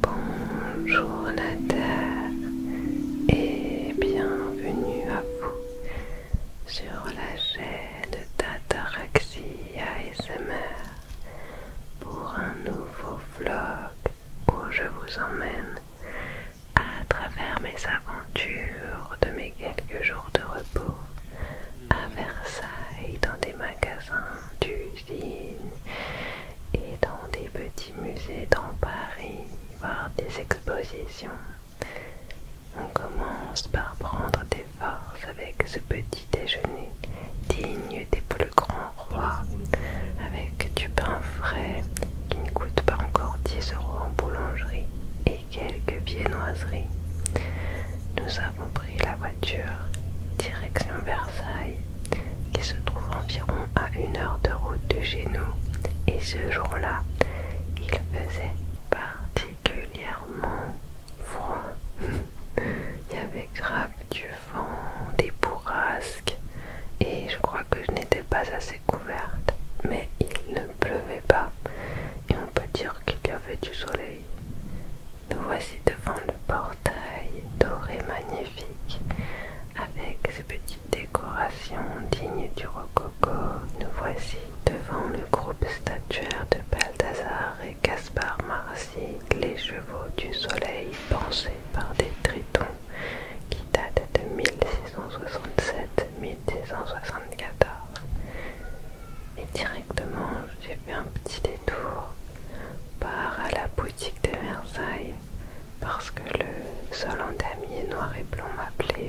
Bonjour la et bienvenue à vous sur la chaîne d'Ataraxie ASMR pour un nouveau vlog où je vous emmène à travers mes aventures de mes quelques jours de repos à Versailles dans des magasins du et dans des petits musées dans Paris, voir des expositions. On commence par prendre des forces avec ce petit déjeuner digne des plus grands rois, avec du pain frais qui ne coûte pas encore 10 euros en boulangerie et quelques viennoiseries. Nous avons pris la voiture direction Versailles qui se trouve environ à une heure de route de chez nous, et ce jour-là, il faisait particulièrement froid. il y avait grave du vent, des bourrasques, et je crois que je n'étais pas assez couverte, mais il ne pleuvait pas, et on peut dire qu'il y avait du soleil. Nous voici devant le portail doré magnifique avec ses petites décorations dignes du rococo. Nous voici devant le groupe statuaire de Balthazar et Caspar Marcy, les chevaux du soleil pensés par des tritons qui datent de 1667-1674. Et directement, j'ai fait un petit détour par la la de Versailles parce que le sol en damier noir et blanc m'appelait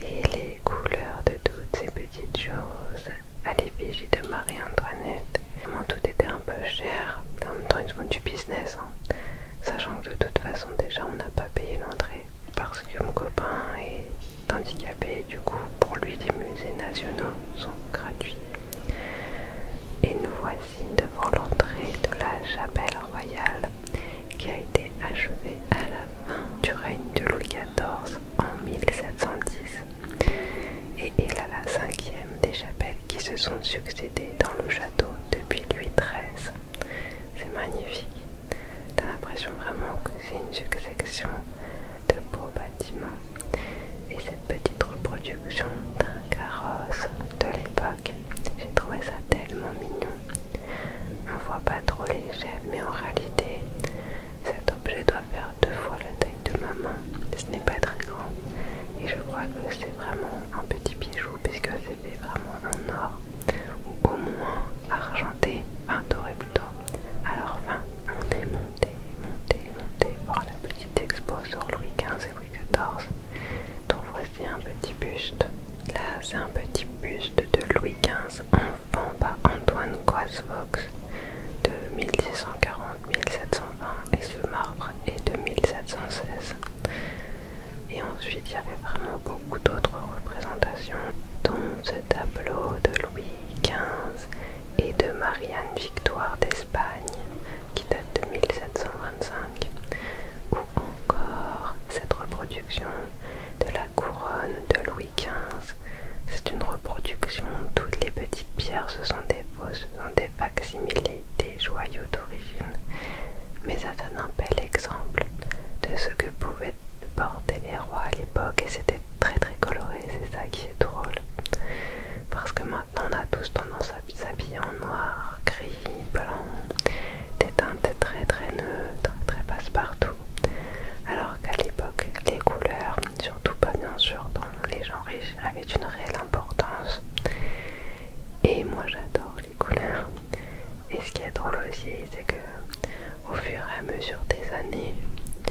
et les couleurs de toutes ces petites choses à l'effigie de Marie-Antoinette. Vraiment tout était un peu cher, en même temps ils font du business, hein. sachant que de toute façon déjà on n'a pas payé l'entrée parce que mon copain est handicapé du coup pour lui les musées nationaux sont gratuits. Et nous voici devant l'entrée de la chapelle royale qui a été achevée à la fin du règne de Louis XIV en 1710 et est a la cinquième des chapelles qui se sont succédées dans le château depuis Louis XIII. C'est magnifique. T'as l'impression vraiment que c'est une succession de beaux bâtiments et cette petite reproduction d'un carrosse de l'époque. J'ai trouvé ça tellement mignon. On voit pas trop les mais en réalité, cet objet doit faire deux fois la taille de ma main. Ce n'est pas très grand. Et je crois que c'est vraiment un petit bijou puisque fait vraiment en or ou au moins argenté, enfin doré plutôt. Alors, fin on est monté, monté, monté voir la petite expo sur Louis XV et Louis XIV. Donc voici un petit buste. Là, c'est un petit buste de Louis XV enfant par Antoine Coisvox de 1640-1720 et ce marbre est de 1716. Et ensuite, il y avait vraiment beaucoup d'autres représentations, dont ce tableau de Louis XV et de Marianne Victoire d'Espagne qui date de 1725 ou encore cette reproduction de la couronne de Louis XV. C'est une reproduction, toutes les petites pierres ce sont des fausses, ce sont des facsimilés, des joyaux d'origine, mais ça donne un bel exemple de ce que pouvaient porter les rois à l'époque et c'était très très coloré, c'est ça qui est drôle. Parce que maintenant on a tous tendance à s'habiller en noir, gris, blanc, des teintes très très neutres, très passe-partout. Alors qu'à l'époque, les couleurs, surtout pas bien sûr dans les gens riches, avaient une réelle importance. Et moi j'adore les couleurs. Et ce qui est drôle aussi, c'est que au fur et à mesure des années,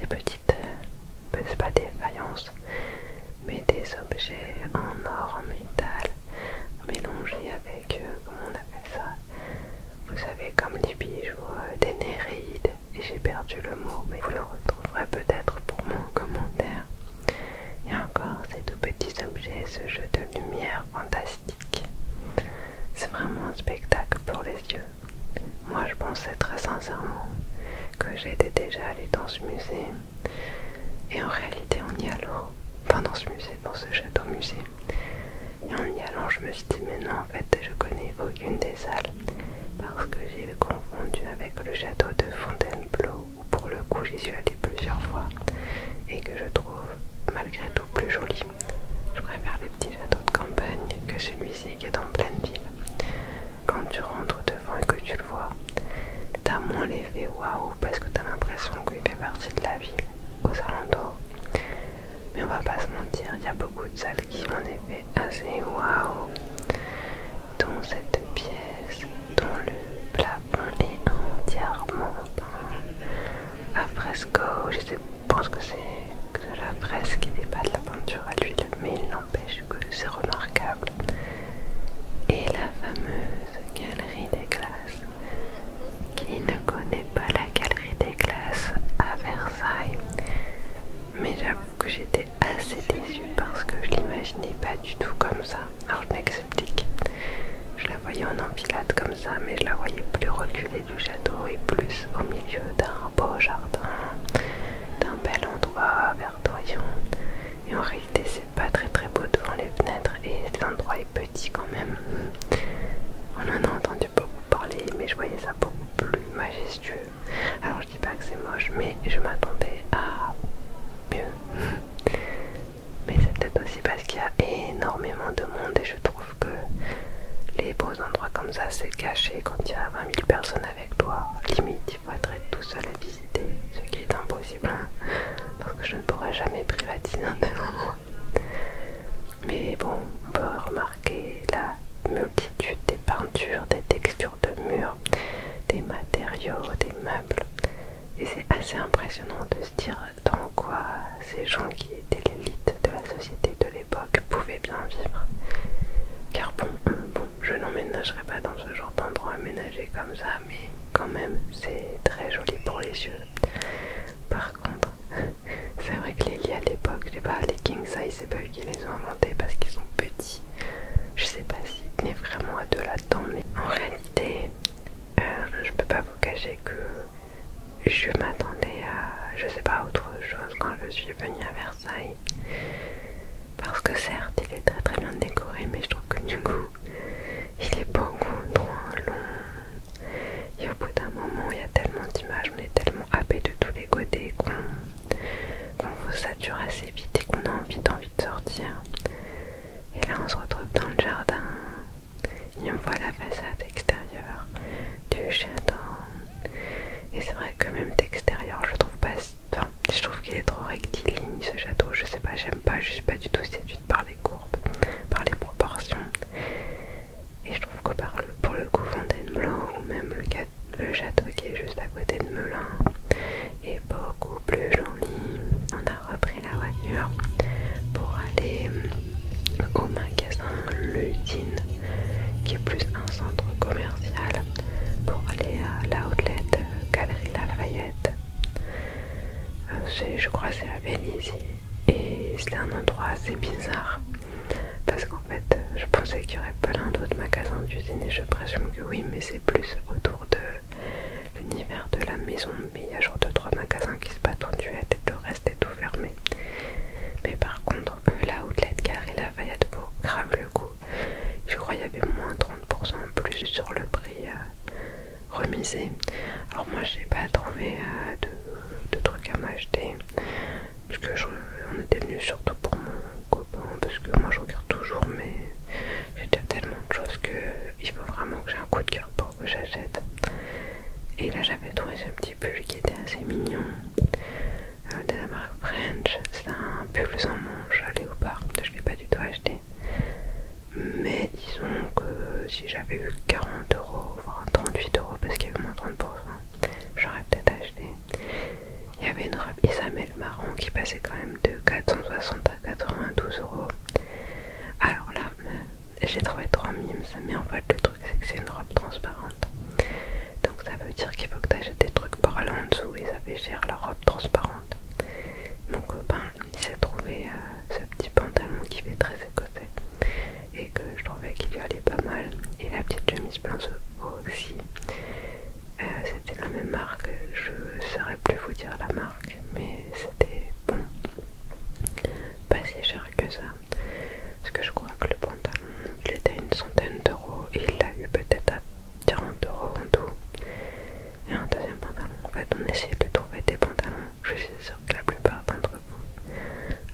ces petites, ce euh, c'est pas des faïences, mais des objets en or, en métal, mélangés avec, euh, comment on appelle ça Vous savez, comme des bijoux, euh, des nérides, et j'ai perdu le mot, mais vous le retrouverez peut-être pour mon commentaire. Et encore ces tout petits objets, ce jeu de lumière fantastique c'est vraiment un spectacle pour les yeux. Moi je pensais très sincèrement que j'étais déjà allé dans ce musée. Et en réalité on y allant, enfin dans ce musée, dans ce château musée. Et en y allant je me suis dit mais non en fait je connais aucune des salles. Parce que j'ai confondu avec le château de Fontainebleau où pour le coup j'y suis allée plusieurs fois et que je trouve malgré tout plus jolie. Je préfère les petits châteaux de campagne que celui-ci qui est en pleine ville. Quand tu rentres devant et que tu le vois, t'as moins l'effet waouh parce que t'as l'impression qu'il fait partie de la ville aux alentours. Mais on va pas se mentir, il y a beaucoup de salles qui ont un effet assez waouh, Dans cette pièce, dont le plafond est entièrement à fresco, je sais, pense que c'est de la fresque qui pas de la peinture à l'huile, mais il n'empêche que c'est remarquable. Et la fameuse galerie des glaces. Qui ne connaît pas la galerie des glaces à Versailles Mais j'avoue que j'étais assez déçue parce que je l'imaginais pas du tout comme ça. Alors je m'explique. Je la voyais en empilade comme ça, mais je la voyais plus reculée du château et plus au milieu d'un beau jardin, d'un bel endroit verdoyant. Et en réalité, c'est pas très très beau devant les fenêtres et l'endroit est petit quand même. On en a entendu beaucoup parler, mais je voyais ça beaucoup plus majestueux. Alors je dis pas que c'est moche, mais je m'attendais à mieux. Mais c'est peut-être aussi parce qu'il y a énormément de monde et je trouve que les beaux endroits comme ça, c'est caché quand il y a 20 000 personnes avec toi. Limite, il faudrait être tout seul à visiter, ce qui est impossible, hein. parce que je ne pourrais jamais privatiser un tel Mais bon, on peut remarquer la multitude des peintures, des textures de murs, des matériaux, des meubles. Et c'est assez impressionnant de se dire dans quoi ces gens qui étaient l'élite de la société de l'époque pouvaient bien vivre. Car euh, bon, je n'emménagerai pas dans ce genre d'endroit aménagé comme ça, mais quand même, c'est très joli pour les yeux. Par contre, c'est vrai que les lits à l'époque, je sais pas, les King's c'est pas eux qui les ont inventés parce qu'ils sont petits. Je sais pas si est vraiment à deux là-dedans, mais en réalité, euh, je peux pas vous cacher que je m'attendais à, je sais pas, autre chose quand je suis venue à Versailles. Parce que certes, il est très très bien décoré, mais je trouve que du coup, il est beaucoup trop long. Et au bout d'un moment, il y a tellement d'images, on est tellement happé de tous les côtés qu'on vous sature assez vite et qu'on a envie, envie de sortir. Et là, on se retrouve dans le jardin, y on voit la façade extérieure du château. Et c'est vrai que même d'extérieur, je trouve pas. je trouve qu'il est trop rectiligne ce château. Je sais pas, j'aime pas, je suis pas du tout séduite par les courbes, par les proportions. Et je trouve que par le, pour le coup, Fontainebleau ou même le, le château qui est juste à côté de Melun est beaucoup plus joli. On a repris la voiture pour aller euh, au magasin l'usine qui est plus un centre commercial, pour aller à la outlet euh, Galerie Lafayette. Euh, je crois c'est à Venise et c'est un endroit assez bizarre parce qu'en fait je pensais qu'il y aurait plein d'autres magasins d'usine et je présume que oui mais c'est plus autour de l'univers de la maison mais il y a genre 2-3 magasins qui se battent en duette et le reste tout fermé. Mais par contre, la Outletcar et la Fayette pour grave le coup. Je crois qu'il y avait moins 30% plus sur le prix euh, remisé. Alors moi, j'ai pas trouvé euh, de, trucs à m'acheter. Parce que je, on était venu surtout pour mon copain. Parce que moi, je regarde toujours, mais j'ai déjà tellement de choses que il faut vraiment que j'ai un coup de cœur pour que j'achète. Et là j'avais trouvé ce petit pull qui était assez mignon euh, de la marque French. C'est un pull sans à léopard, je ne l'ai pas du tout acheté. Mais disons que si j'avais eu 40 euros, voire 38 euros parce qu'il y avait moins 30%, j'aurais peut-être acheté. Il y avait une robe Isamel marron qui passait quand même de 460 à 92 euros. Alors là, j'ai trouvé trois mimes, mais en fait le truc c'est que c'est une robe transparente. Donc ça veut dire qu'il faut que tu achètes des trucs par là en dessous et ça fait cher la robe transparente. Mon copain il s'est trouvé euh, ce petit pantalon qui fait très écossais et que je trouvais qu'il lui allait pas mal. Et la petite chemise blanche aussi. Euh, c'était la même marque, je saurais plus vous dire la marque, mais c'était Bon, pas si cher que ça. Parce que je crois que le pantalon, il était à une centaine d'euros et il l'a eu peut-être à 40 euros en tout. Et un deuxième pantalon. En fait, on essayait de trouver des pantalons. Je suis sûre que la plupart d'entre vous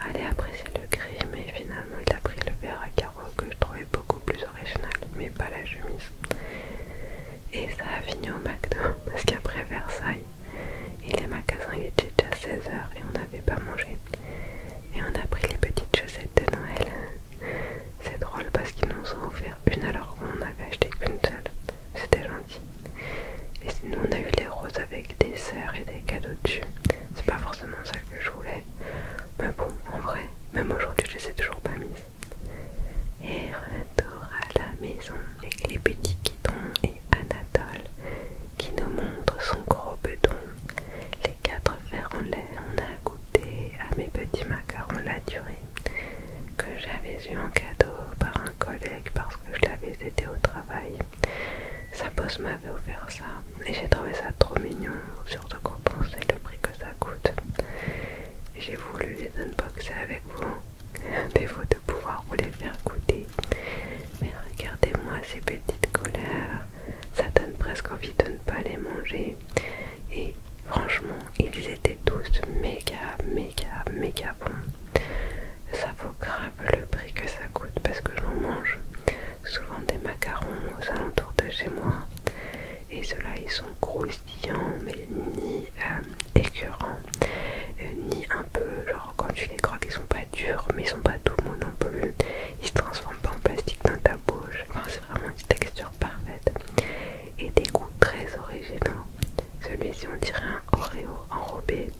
allaient apprécier le gris, mais finalement, il a pris le verre à carreaux que je trouvais beaucoup plus original, mais pas la chemise. Et ça a fini au McDo parce qu'après Versailles, et les magasins étaient était déjà 16h et on n'avait pas mangé. Et on a pris les petites chaussettes de Noël. C'est drôle parce qu'ils nous ont offert une alors qu'on n'avait acheté qu'une seule. C'était gentil. Et nous on a eu les roses avec des sœurs et des cadeaux dessus. C'est pas forcément ça que je voulais. Mais bon, en vrai, même aujourd'hui je les ai toujours pas mises. Et retour à la maison et les petits quittons Anatole qui nous montre son gros béton les quatre verres en lait. On a goûté à mes petits macarons la durée que j'avais eu en cadeau par un collègue parce que je l'avais aidé au travail. Sa bosse m'avait offert ça et j'ai trouvé ça trop mignon, surtout qu'on pensait le prix que ça coûte. J'ai voulu les unboxer avec vous. Des photos pouvoir vous les faire goûter. Mais regardez-moi ces petites colères, ça donne presque envie de ne pas les manger. Et franchement, ils étaient tous méga, méga, méga bons. Ça vaut grave le prix que ça coûte parce que j'en mange souvent des macarons aux alentours de chez moi. Et ceux-là, ils sont croustillants, mais mini euh, écœurant, euh, ni un peu, genre quand tu les croques, ils sont pas durs, mais ils sont pas tout non plus, ils se transforment pas en plastique dans ta bouche, enfin, c'est vraiment une texture parfaite, et des goûts très originaux. Celui-ci, on dirait un Oreo enrobé.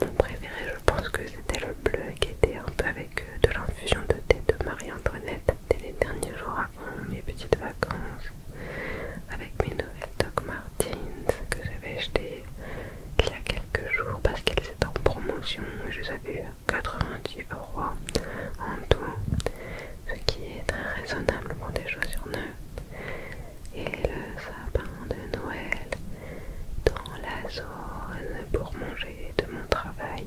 Mon préféré, je pense que c'était le bleu qui était un peu avec euh, de l'infusion de thé de Marie-Antoinette. des les derniers jours avant mes petites vacances avec mes nouvelles Doc Martens que j'avais achetées il y a quelques jours parce qu'elles étaient en promotion. Je les avais 90 euros en tout, ce qui est très raisonnable pour des chaussures neuves. Et le sapin de Noël dans la zone pour manger de mon travail.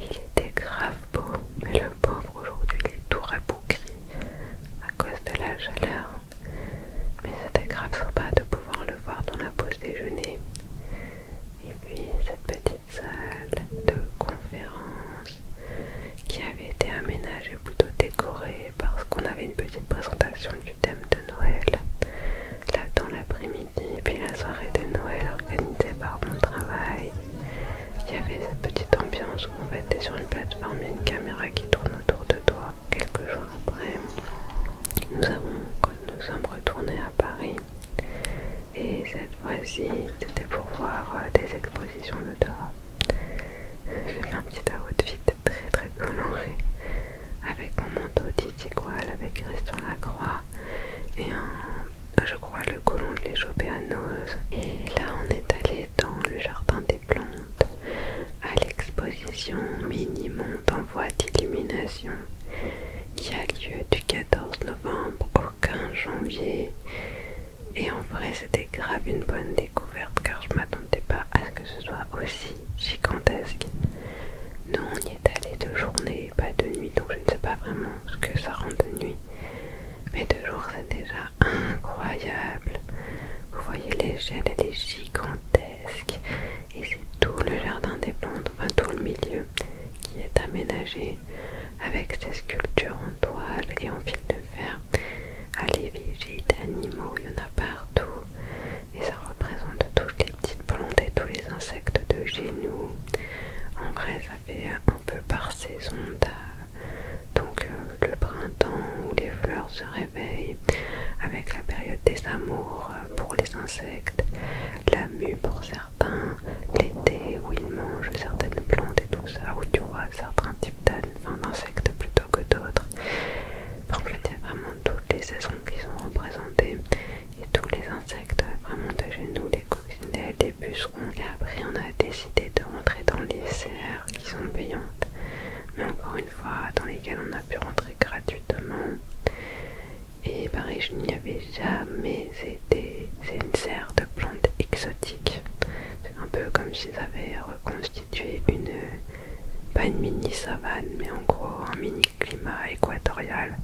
Il était grave beau, mais le pauvre aujourd'hui il est tout rabougri à cause de la chaleur, mais c'était grave sympa de pouvoir le voir dans la pause déjeuner. Et puis cette petite salle de conférence qui avait été aménagée plutôt décorée parce qu'on avait une petite présentation du thème de Noël là dans l'après-midi. Et puis la soirée de Noël organisée par mon travail il y avait cette petite ambiance où on était sur une plateforme, et une caméra qui tourne autour de toi. Quelques jours après, nous, avons, nous sommes retournés à Paris. Et cette fois-ci, c'était pour voir euh, des expositions de Dora. J'ai fait un petit outfit très très coloré avec mon manteau Titi avec Christian Lacroix et je crois le colon de les chopé Et là, on est allé dans le jardin des plantes, à l'exposition Mini-Monde en voie d'illumination, qui a lieu du 14 novembre au 15 janvier. Et en vrai, c'était grave une bonne découverte car je m'attendais pas à ce que ce soit aussi gigantesque. Nous, on y est allé de journée, pas de nuit, donc je ne sais pas vraiment ce que ça rend de nuit mais deux jours c'est déjà incroyable. Vous voyez l'échelle, elle est gigantesque et c'est tout le jardin des plantes, enfin tout le milieu qui est aménagé avec ces sculptures en toile et en fil de fer Allez, ah, l'effigie d'animaux, il y en a partout et ça représente toutes les petites plantes et tous les insectes de chez nous. En vrai, fait un peu par saison. Donc euh, le printemps où les fleurs se réveillent, avec la période des amours euh, pour les insectes, la mue pour certains, l'été où ils mangent certaines plantes et tout ça, où tu vois certains types d'insectes plutôt que d'autres. pour vraiment toutes les saisons qui sont représentées et tous les insectes vraiment de genoux nous, ce des bus après on a décidé de rentrer dans les serres qui sont payantes, mais encore une fois dans lesquelles on a pu rentrer gratuitement. Et pareil, je n'y avais jamais été. C'est une serre de plantes exotiques. C'est un peu comme s'ils avaient reconstitué une, pas une mini savane, mais en gros un mini climat équatorial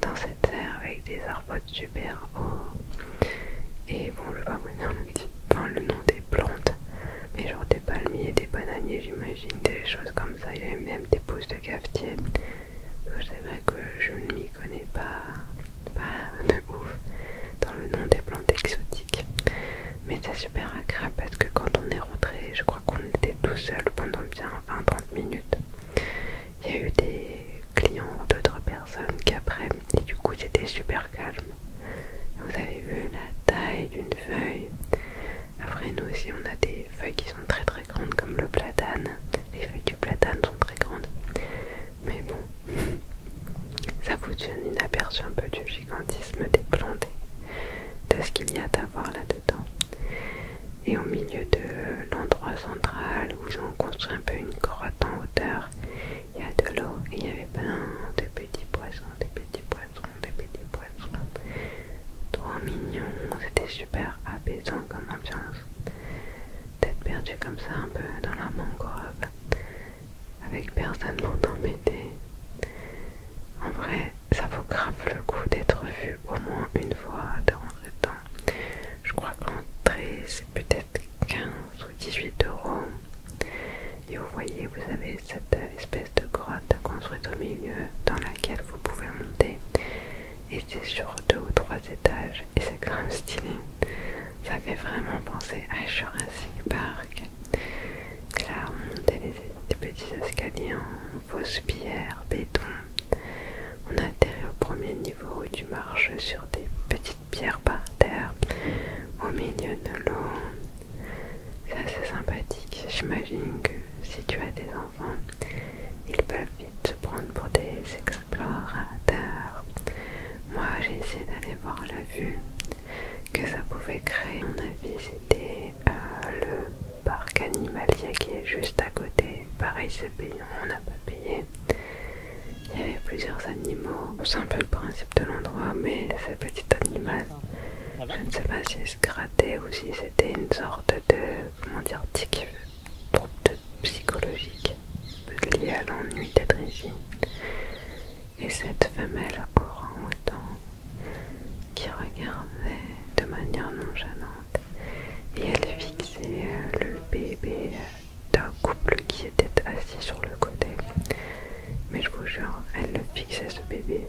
dans cette serre avec des arbres super haut. Et bon, je vais vous le, ah, le nom des plantes, mais genre des palmiers, des bananiers, j'imagine, des choses comme ça. Il y avait même des pousses de cafetier. Euh, c'est vrai que je ne m'y connais pas, pas de ouf dans le nom des plantes exotiques. Mais c'est super agréable parce que quand on est rentré, je crois qu'on était tout seul pendant bien 20-30 minutes. Il y a eu des clients ou d'autres personnes qui apprennent, et du coup j'étais super calme. Vous avez vu la taille d'une feuille. Après nous aussi on a des feuilles qui sont très très grandes comme le platane. Les feuilles du platane sont très grandes. Mais bon, ça vous donne une aperçu un peu du gigantisme des plantes, de ce qu'il y a à voir là-dedans. Et au milieu de l'endroit central où on construit un peu une grotte en hauteur, il y a de l'eau et il y avait plein de petits poissons, des petits poissons, des petits poissons. Trop mignon, c'était super apaisant comme ambiance. D'être perdu comme ça un peu dans la mangrove, avec personne pour t'embêter. En vrai, ça vaut grave le coup d'être vu au moins une fois dans rentrer temps. Je crois que l'entrée c'est peut-être 15 ou 18 euros. Et vous voyez, vous avez cette espèce de grotte construite au milieu dans laquelle vous pouvez monter. Et c'est sur deux ou trois étages et c'est quand stylé. Ça fait vraiment penser à Jurassic Park. Là, on montait des, petits escaliers en fausse pierre, béton. On atterrit au premier niveau du tu sur des petits pierre par terre au milieu de l'eau. C'est assez sympathique. J'imagine que si tu as des enfants, ils peuvent vite se prendre pour des explorateurs. Moi, j'ai essayé d'aller voir la vue que ça pouvait créer. On a visité euh, le parc animalier qui est juste à côté pareil c'est payant, on n'a pas payé. Il y avait plusieurs animaux, c'est un peu le principe de l'endroit, mais ce petit animal, je ne sais pas si il se grattait ou si c'était une sorte de, comment dire, tic, trouble psychologique lié à l'ennui d'être ici. Et cette femelle courant autant qui regardait de manière non nonchalante et elle fixait euh, le bébé euh, d'un couple qui était assis sur le côté. Mais je vous jure, elle fixait ce bébé.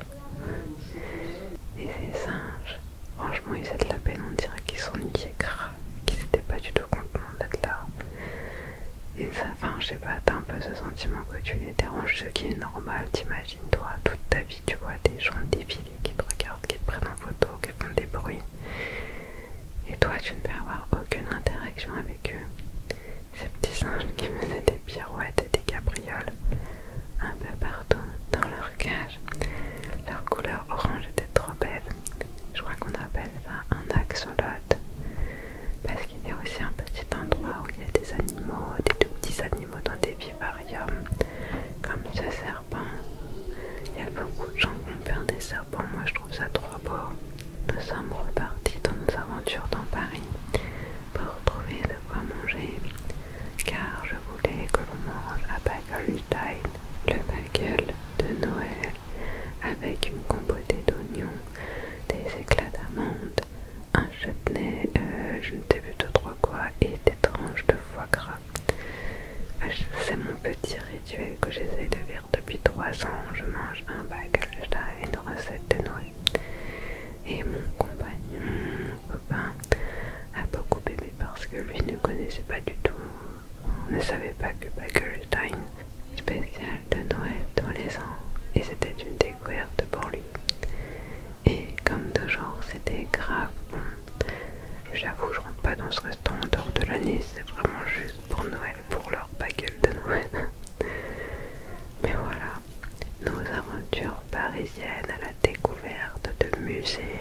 Et ces singes, franchement, ils ont de la peine, on dirait qu'ils sont s'ennuyaient grave, qu'ils n'étaient pas du tout contents d'être là. Et ça, enfin, je sais pas, t'as un peu ce sentiment que tu les déranges, ce qui est normal, t'imagines-toi, toute ta vie, tu vois des gens défiler qui te regardent, qui te prennent en photo, qui font des bruits. Et toi, tu ne peux avoir aucune interaction avec eux. Ces petits singes qui menaient des pirouettes et des cabrioles un peu partout dans leur cage. Leur couleur orange était trop belle. Je crois qu'on appelle ça un axolote. Parce qu'il y a aussi un petit endroit où il y a des animaux, des tout petits animaux dans des vivariums. Comme ce ça il y a beaucoup de gens qui ont perdu des serpents. Moi, je trouve ça trop beau. Nous sommes repartis dans nos aventures dans Paris pour trouver de quoi manger, car je voulais que l'on mange à Bagelstein, le bagel de Noël, avec une compotée d'oignons, des éclats d'amande, un chutney, euh, je ne sais plus de trois quoi, et des tranches de foie gras. C'est ah, mon petit rituel que j'essaie de faire depuis trois ans. Je mange un baccalauréat et une recette de Noël. Et mon compagnon, copain, a beaucoup aimé parce que lui ne connaissait pas du tout, on ne savait pas que baccalauréat une spécial de Noël dans les ans. Et c'était une découverte pour lui. Et comme toujours, c'était grave J'avoue, je rentre pas dans ce restaurant en dehors de l'année, c'est vraiment juste pour Noël, pour leur baguette de Noël. Mais voilà, nos aventures parisiennes à la découverte de musées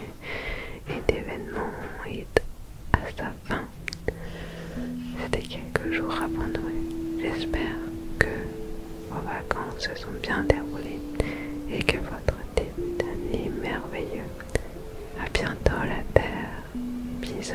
et d'événements est à sa fin. C'était quelques jours avant Noël. J'espère que vos vacances se sont bien déroulées et que votre début d'année merveilleux à bientôt la Terre. Bisous.